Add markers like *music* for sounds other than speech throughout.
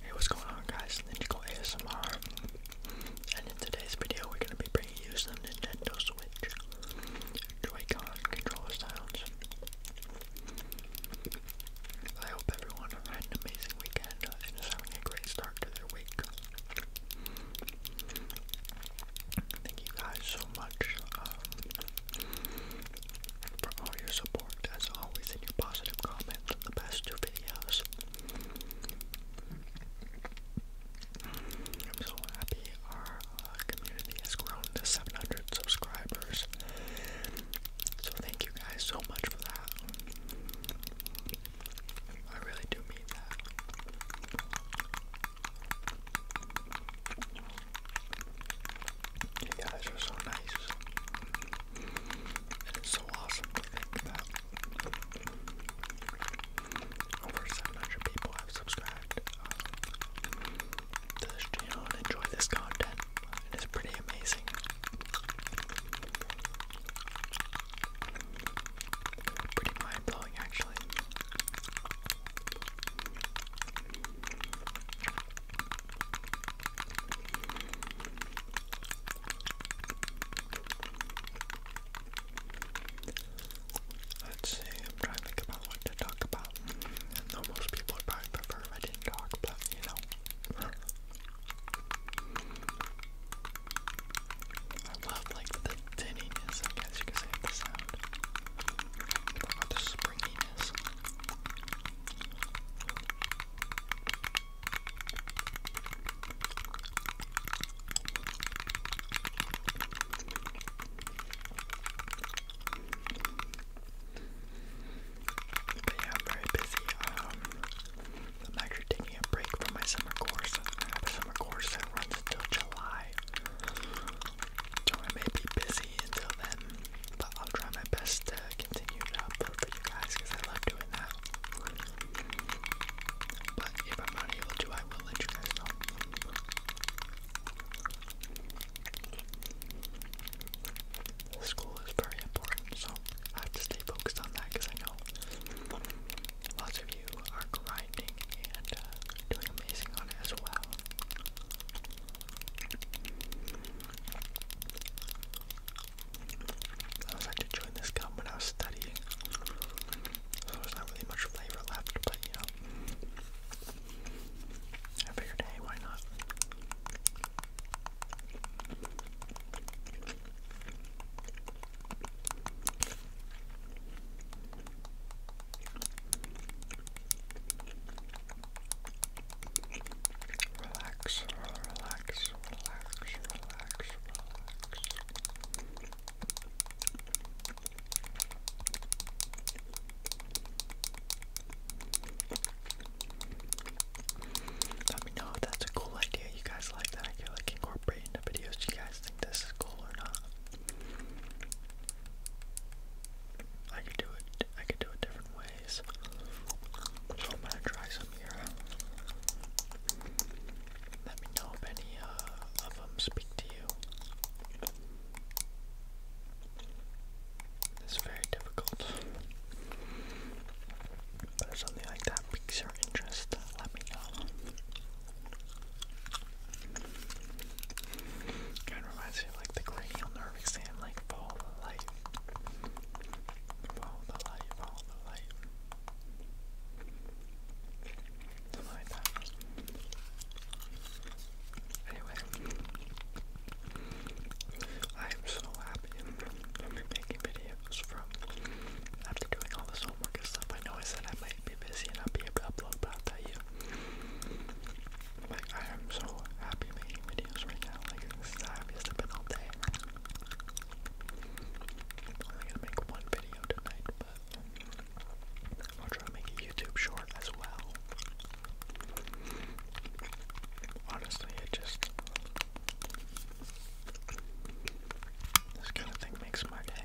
Hey, what's going on, guys? Ninjago ASMR, and in today's video, we're going to be bringing you some Nintendo Switch Joy-Con controller sounds. I hope everyone had an amazing weekend and is having a great start to their week. Thank you guys so much um, for all your support as always, and your positive comments on the past two videos. I'm so happy our uh, community has grown to 700 subscribers. So thank you guys so much for that. I really do mean that. You are so nice. And it's so awesome to think that over 700 people have subscribed um, to this channel and enjoy this content. It is pretty amazing. Pretty mind blowing, actually. Let's see, I'm trying to think about what to talk about. I know most people would probably prefer if I didn't talk, but you know. I love like the tinniness, I guess you could say, the sound. What the springiness? But yeah, I'm very busy. Um, I'm actually taking a break from my summer course. I summer course that runs until July. So I may be busy until then, but I'll try my best continue to upload for you guys because I love doing that. But if I'm not able to, I will let you guys know. School is very important, so I have to stay focused on that because I know lots of you are grinding and uh, doing amazing on it as well. I was actually chewing this gum when I was studying, so there's not really much flavor left, but you know, I why not? Relax, relax, relax, relax, relax. Let me know if that's a cool idea. You guys like that? I feel like incorporating the videos. Do you guys think this is cool or not? I could do it. I could do a different way. So I'm gonna try some here. Let me know if any uh, of them speak to you. It's very difficult. But if something like that piques your interest, uh, let me know. Kind of reminds me of like the cranial nerve exam, like for life. Follow the light, follow the light. Something like that. Anyway, I am so happy to be making videos from after doing all this homework and stuff. I know I said I might be busy and not be able to upload, but I'll tell you. Like I am so happy making videos right now. Like this is the happiest I've been all day. I'm only gonna make one video tonight, but I'll try to make a YouTube short as well. Honestly, it just this kind of thing makes my day.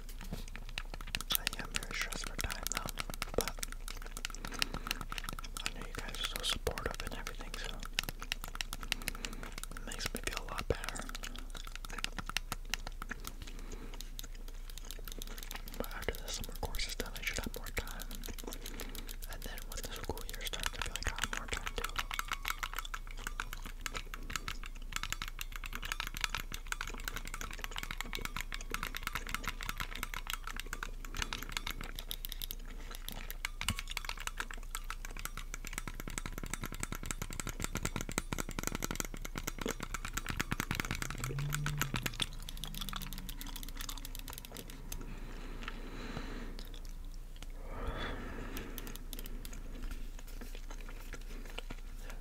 I am very stressed for time though, but I know you guys are so supportive and everything, so it makes me feel a lot better. after the summer course is done, I should have more time. And then when the school year starts, I feel like I have more time too.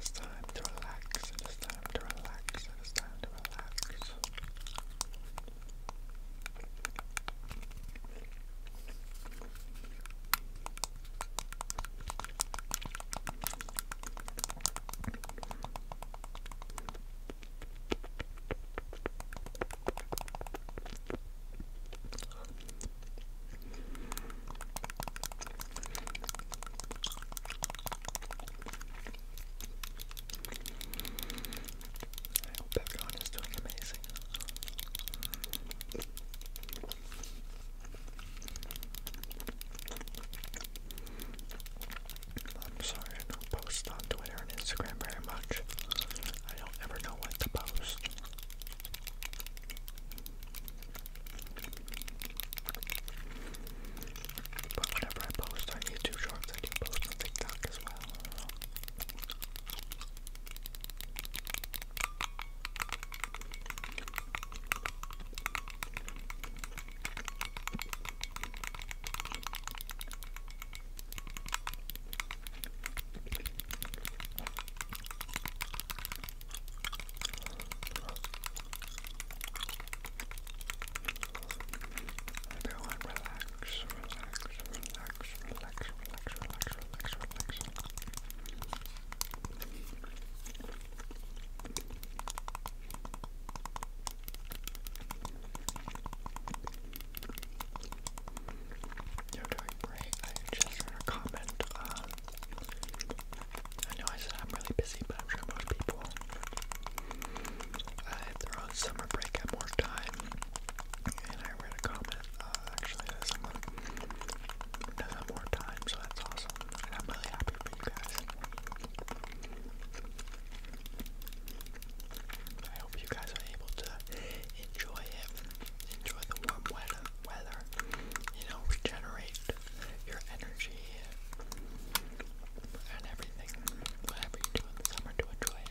It's time to relax. It is time time to relax. It is time to relax. I hope everyone is doing amazing. I'm sorry, I don't post on Twitter and Instagram very much. I don't ever know what to post. But whenever I post on YouTube Shorts, I do post on TikTok as well. Everyone relax, relax, relax, relax, relax, relax, relax, relax. You're doing great. I just want to comment I know I said I'm really busy, but I'm sure most people. Uh, if summer break, have more time. And I read a comment uh, actually that someone does have more time, so that's awesome. And I'm really happy for you guys. I hope you guys are able to enjoy it, enjoy the warm weather, weather you know, regenerate, your energy and everything, whatever you do in the summer to enjoy it.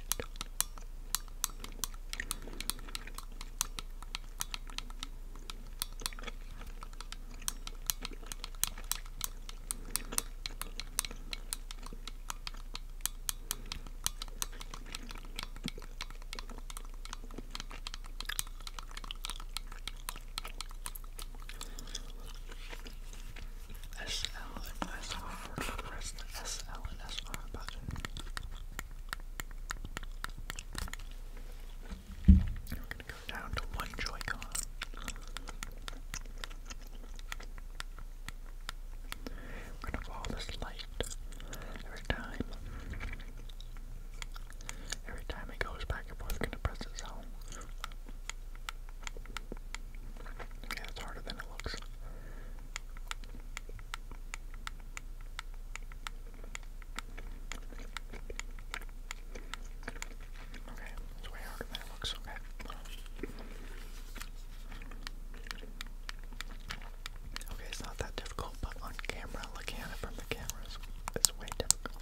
SL and SR. Press the SL and SR button. We're gonna go down to one joy We're gonna follow this light every time. Every time it goes back and forth, gonna press it Okay, that's harder than it looks. Okay, it's way harder than it looks. Okay. Okay, it's not that difficult, but on camera, looking at it from the cameras, it's way difficult.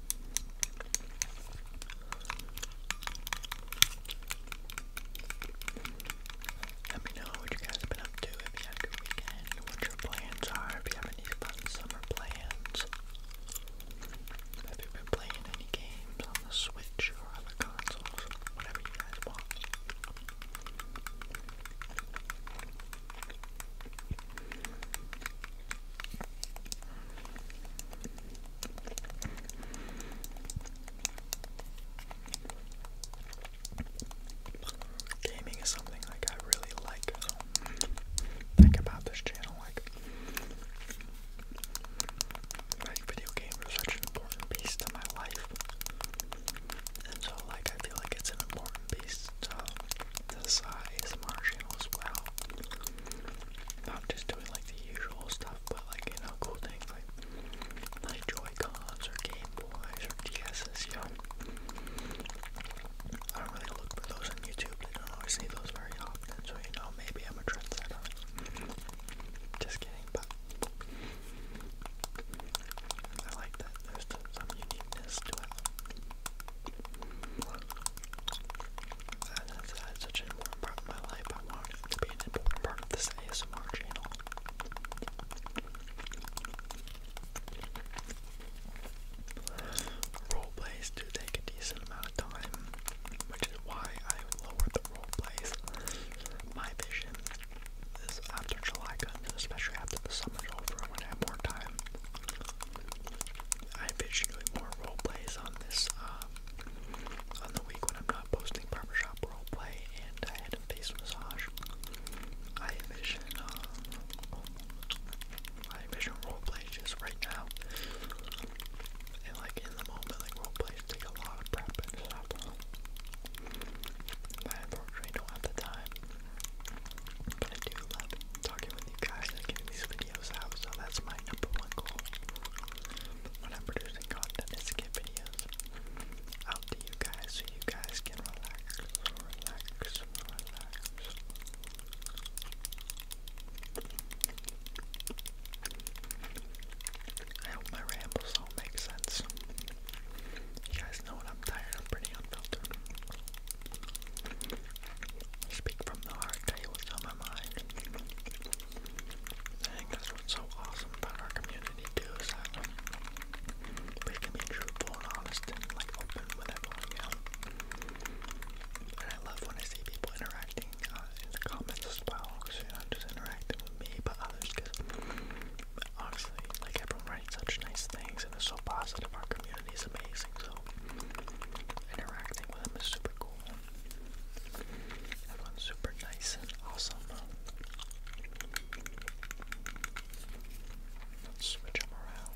Let me know what you guys have been up to, if you had a good weekend, what your plans are, if you have any fun summer plans. Have you been playing any games on the Switch or other consoles? Whatever you guys want. Gaming is something like I really like, um, think about this channel like video games are such an important piece to my life. And so like I feel like it's an important piece to the size of my channel as well. Not just doing like the usual stuff, but like, you know, cool things like, like Joy-Cons or Game Boys or DS's, you know. I don't really look for those on YouTube. I don't always see those very often, so you know, maybe I'm a trendsetter. Just kidding, but I like that there's some uniqueness to it. And it's had such an important part of my life, I wanted it to be an important part of this ASMR channel. Role plays do take a decent amount of time, which is why I lowered the role plays. My vision is after July comes, especially after the summer's over, when I have more time. I envision doing more role plays on this um, on the week when I'm not posting barbershop role play and I had a massage. I envision uh, I envision role play right now. And like in the moment, like role plays take a lot of prep and stuff. I unfortunately don't have the time, but I do love it talking with you guys getting these videos out, so that's my number one goal when I'm producing content is to videos out to you guys so you guys can relax, relax, relax. I hope my rambles all make sense. You guys know when I'm tired, I'm pretty unfiltered. Speak from the heart, tell you what's on my mind. I that's what's so awesome about our community too, is that we can be truthful and honest like open with everyone, And I love when I see people interacting uh, in the comments as well, not just interacting with me, but others, because honestly, like everyone writes such nice things and it's so positive. Our community is amazing, so interacting with him is super cool. Everyone's super nice and awesome. Let's switch them around.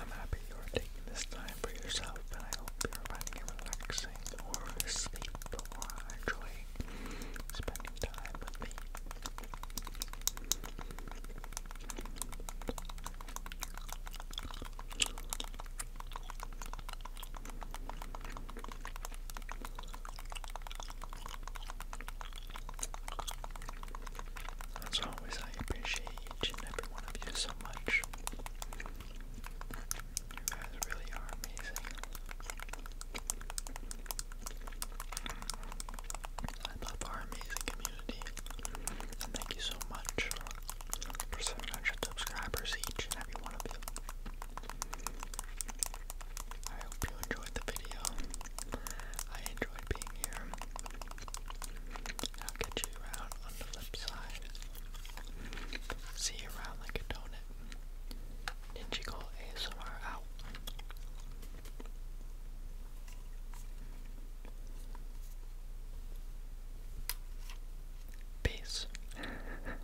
I'm happy you are taking this time for yourself, and I hope you're finding it relaxing or sleepful or enjoying spending time with me. As always, I appreciate each and every one of you so much. You guys really are amazing. I love our amazing community. And thank you so much for 700 subscribers, each and every one of you. I hope you enjoyed the video. I enjoyed being here. I'll get you around on the flip side. See you around like a donut. Ninja ASMR out. Peace. *laughs*